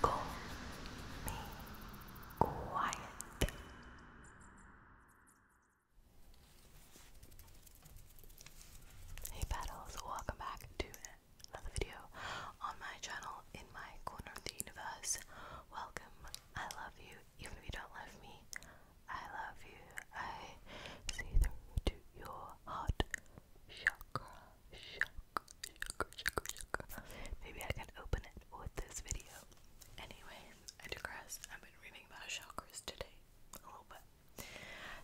Call me quiet. Hey Petals, welcome back to another video on my channel in my corner of the universe. Welcome, I love you, even if you don't love me, I love you. I see through to your heart chakra, chakra, chakra, chakra, chakra. Maybe I can open it with this video. Anyway, I I've been reading about chakras today a little bit.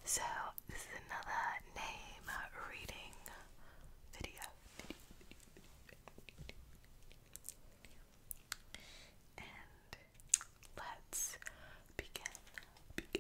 So, this is another name reading video. And let's Begin,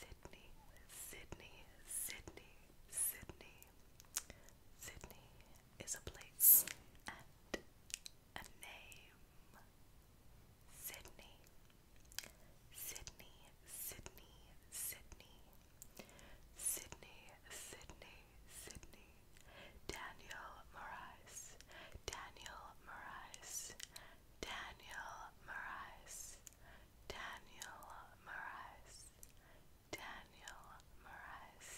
Sydney, Sydney, Sydney, Sydney. Sydney is a place and a name. Sydney, Sydney, Sydney, Sydney. Sydney, Sydney, Sydney. Daniel Morais, Daniel Morais. Daniel Marais, Daniel Marais, Daniel Marais,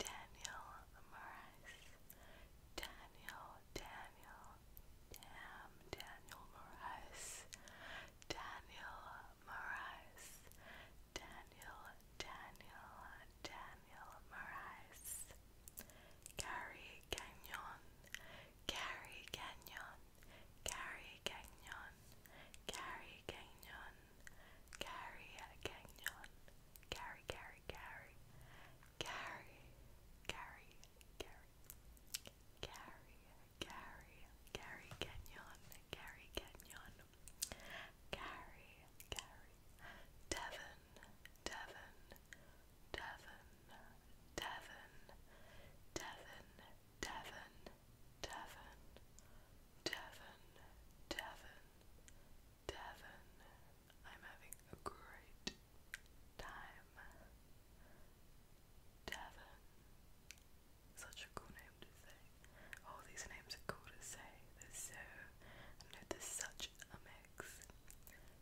Daniel Marais, Daniel, Daniel, damn Daniel Marais, Daniel Marais, Daniel, Daniel, Daniel Marais. Gary Gagnon, Gary Gagnon, Gary Gagnon, Gary Gagnon, Gary Gagnon, Gary, Gary, Gary, Gary, Gary, Gary, Gary, Gary, Gary Gagnon, Gary Gagnon, Gary, Gary, Devon. Devon, Devon, Devon, Devon, Devon, Devon, Devon, Devon, Devon. I'm having a great time. Devon. Such a cool name to say. All oh, these names are cool to say. They're so. I know there's such a mix.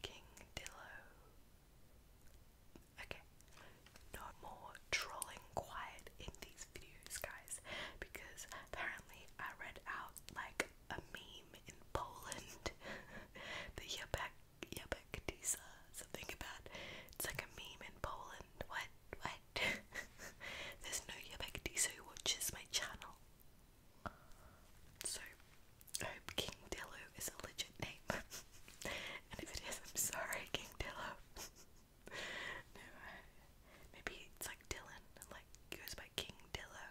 King Dillo. Okay, no more trolling quiet in these videos, guys, because apparently I read out like a meme in Poland, the Yabek Yabek Disa, something about it's like a meme in Poland. What? What? There's no Yabek Disa who watches my channel. So, I hope King Dillo is a legit name. and if it is, I'm sorry, King Dillo. maybe it's like Dylan, like goes by King Dillo.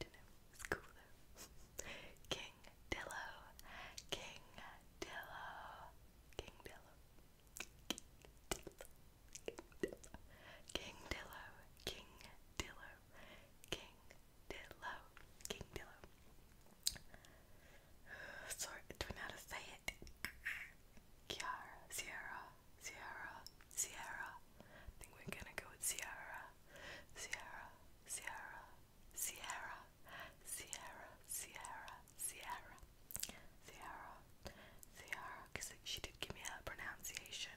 do know, it's cool King Dillo, King Dillo, King Dillo. King Dillo, King Dillo, King Dillo, King Dillo. King Dillo. Sorry, I don't know how to say it. Kiara, Sierra, Sierra, Sierra. I think we're gonna go with Sierra. Sierra, Sierra, Sierra, Sierra, Sierra, Sierra, Sierra, Sierra. Because she did give me a pronunciation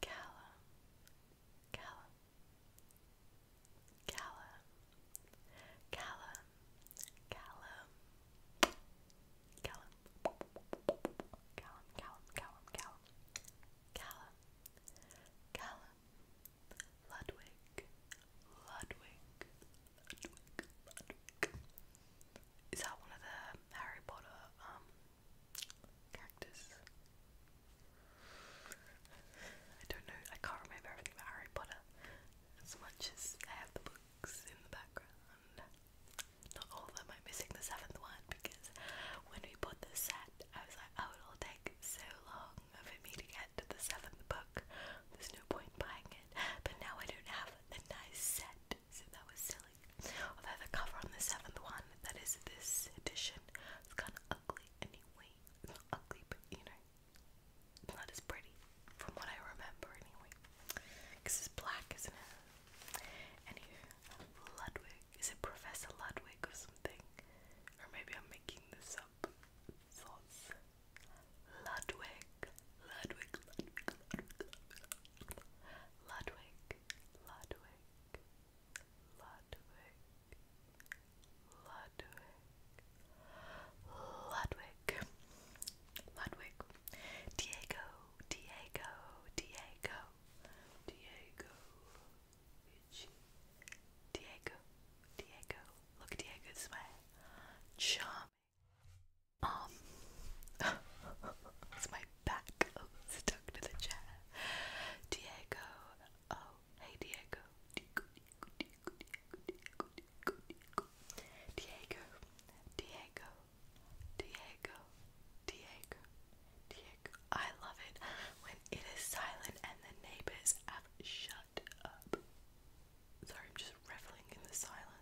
Callum, Callum, Callum, Callum, Callum, Callum, Callum, Callum, Callum, Callum, Callum, Callum, Ludwig, Ludwig, Ludwig, Ludwig. Is that one of the Harry Potter um Cactus. I don't know, I can't remember everything about Harry Potter as much as I have the books in the background. Not all of them, I'm missing the seventh one because when we bought this set, I was like, oh, it'll take so long for me to get to the seventh book, there's no point buying it. But now I don't have a nice set, so that was silly styling. Although the cover on the seventh one, that is this edition, it's kind of ugly anyway. not ugly, but you know, not as pretty from what I remember anyway. Because it's black, isn't it? Ludwig. Is it Professor Ludwig or something? Or maybe I'm making this up. Thoughts. Ludwig. Ludwig. Ludwig. Ludwig, Ludwig, Ludwig, Ludwig, Ludwig, Diego, Diego, Diego, Diego, Diego, Diego, look at Diego's smile, charming, um, it's my back oh, stuck to the chair. Diego, oh hey Diego, Diego, Diego, Diego, Diego, Diego, Diego, Diego, Diego, Diego, Diego. I love it when it is silent and the neighbors have shut up. Sorry, I'm just reveling in the silence.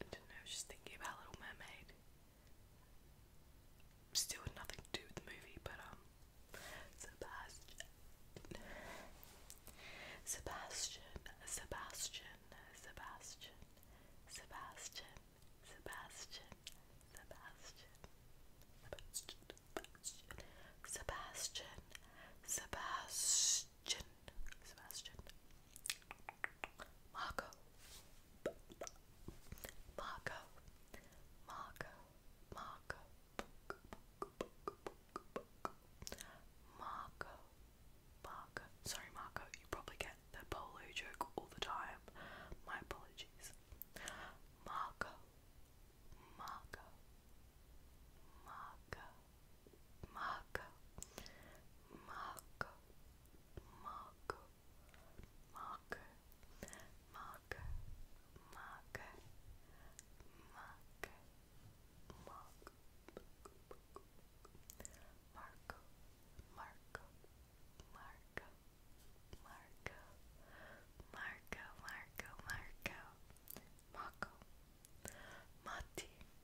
I don't know, just thinking about Little Mermaid. Still nothing to do with the movie, but um Sebastian Sebastian Sebastian Sebastian Sebastian Sebastian Sebastian Sebastian Sebastian Sebastian Marco, Marco, Marco, Marco, Marco, Marco. Sorry, Marco, you probably get the polo joke all the time. My apologies. Marco, Marco, Marco mug, mug, mug, mug, mug, mug, mug, Marco, Marco, Marco, Marco, Marco, Marco, Marco, Marco, Matti,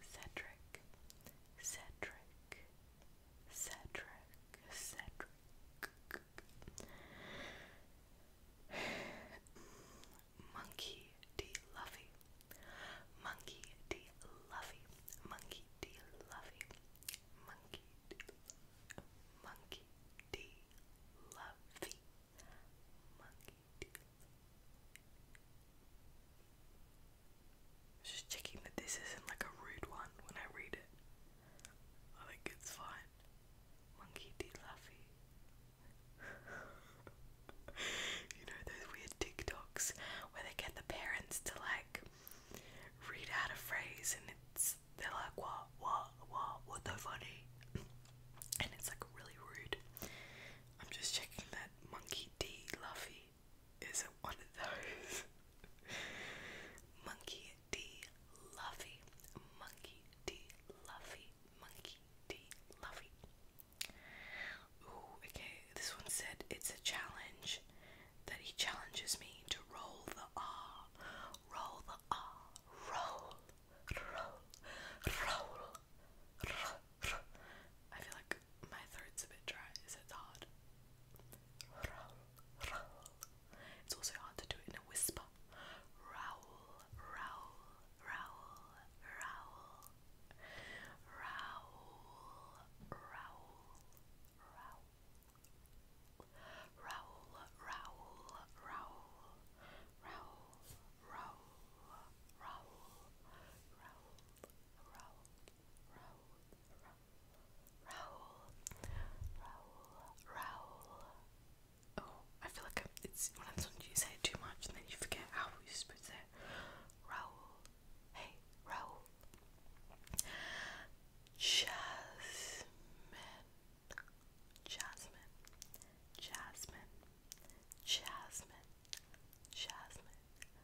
Cedric, Cedric, Cedric, Cedric. Monkey D. Lovey, Monkey D. Lovey, Monkey D. Lovey, Monkey D. Monkey D. Lovey, Monkey D. Lovey. Just checking that this isn't like a rude one when I read it. I think it's fine. Monkey D. Luffy. you know those weird TikToks where they get the parents to like read out a phrase and it's they're like what what what what so funny and it's like really rude. I'm just checking that Monkey D. Luffy isn't one of those. Monkey D. Luffy. Monkey D. Luffy. Monkey D. Luffy. Ooh, okay. This one said it's a challenge that he challenges me to roll the R. Roll the R. Roll. Roll. Roll. roll. I feel like my throat's a bit dry, so it's hard. It's also hard to do it in a whisper. Rowl, rowl, rowl, rowl. Rowl, rowl, rowl. Rowl, rowl, rowl, rowl, rowl, Raul, Raul, Raul, Raul, Raul. Oh, I feel like it's one of those ones you say it too much and then you forget how you're it. Raul, hey, Raul. Jasmine, Jasmine, Jasmine, Jasmine, Jasmine,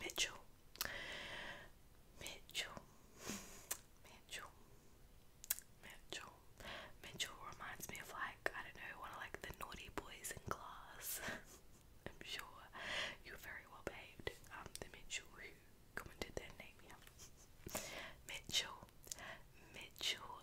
Mitchell, Mitchell, Mitchell, Mitchell. Mitchell reminds me of like I don't know one of like the naughty boys in class. I'm sure you're very well behaved. Um, the Mitchell who commented their name Mitchell, Mitchell,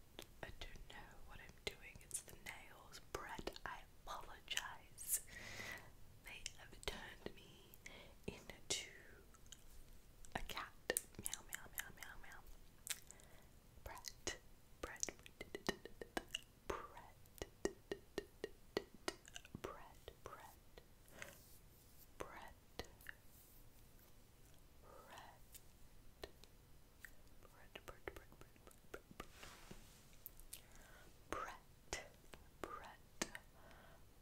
I don't know what I'm doing. It's the nails. Brett, I apologize. They have turned me into a cat. Meow, meow, meow, meow, meow. Brett, Brett, Brett, Brett, Brett, Brett, red. Bread, bread, bread, bread, bread, bread, bread,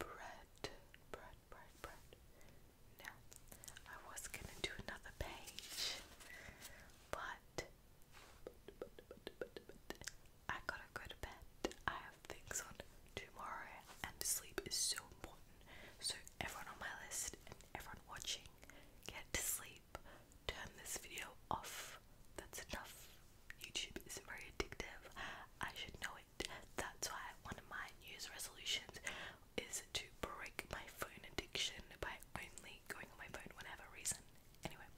bread, bread, bread, bread. Now, I was gonna do another page, but, but, but, but, but I gotta go to bed. I have things on tomorrow, and sleep is so important. So everyone on my list and everyone watching, get to sleep, turn this video off. That's enough. YouTube is very addictive. I should know it. That's why one of my New Year's resolutions is to break my phone addiction by only going on my phone whenever reason. Anyway,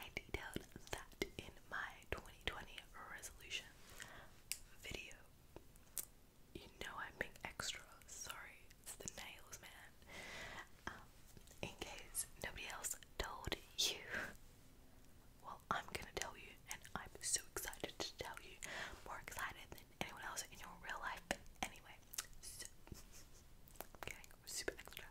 I detailed that in my 2020 resolution video you know I'm being extra. Sorry, it's the nails, man. Um, in case nobody else told you, well, I'm gonna tell you, and I'm so excited to tell you, more excited than anyone else in your real life. Anyway, so super extra.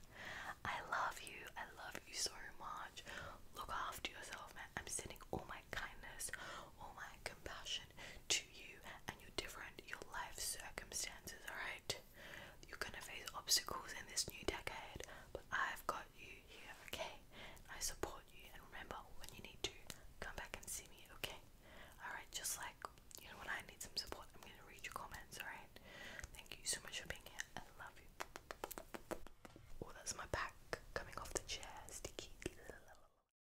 I love you. I love you so much. Look after yourself, man. I'm sending all my kindness, all my compassion to you and you're different, your life circumstances, alright? You're gonna face obstacles in this new decade, but I've got you here, okay? I support you, and remember, when you need to, come back and see me, okay? Alright, just like, you know, when I need some support, I'm gonna read your comments, alright? Thank you so much for being here, I love you. Oh, that's my back coming off the chair, sticky.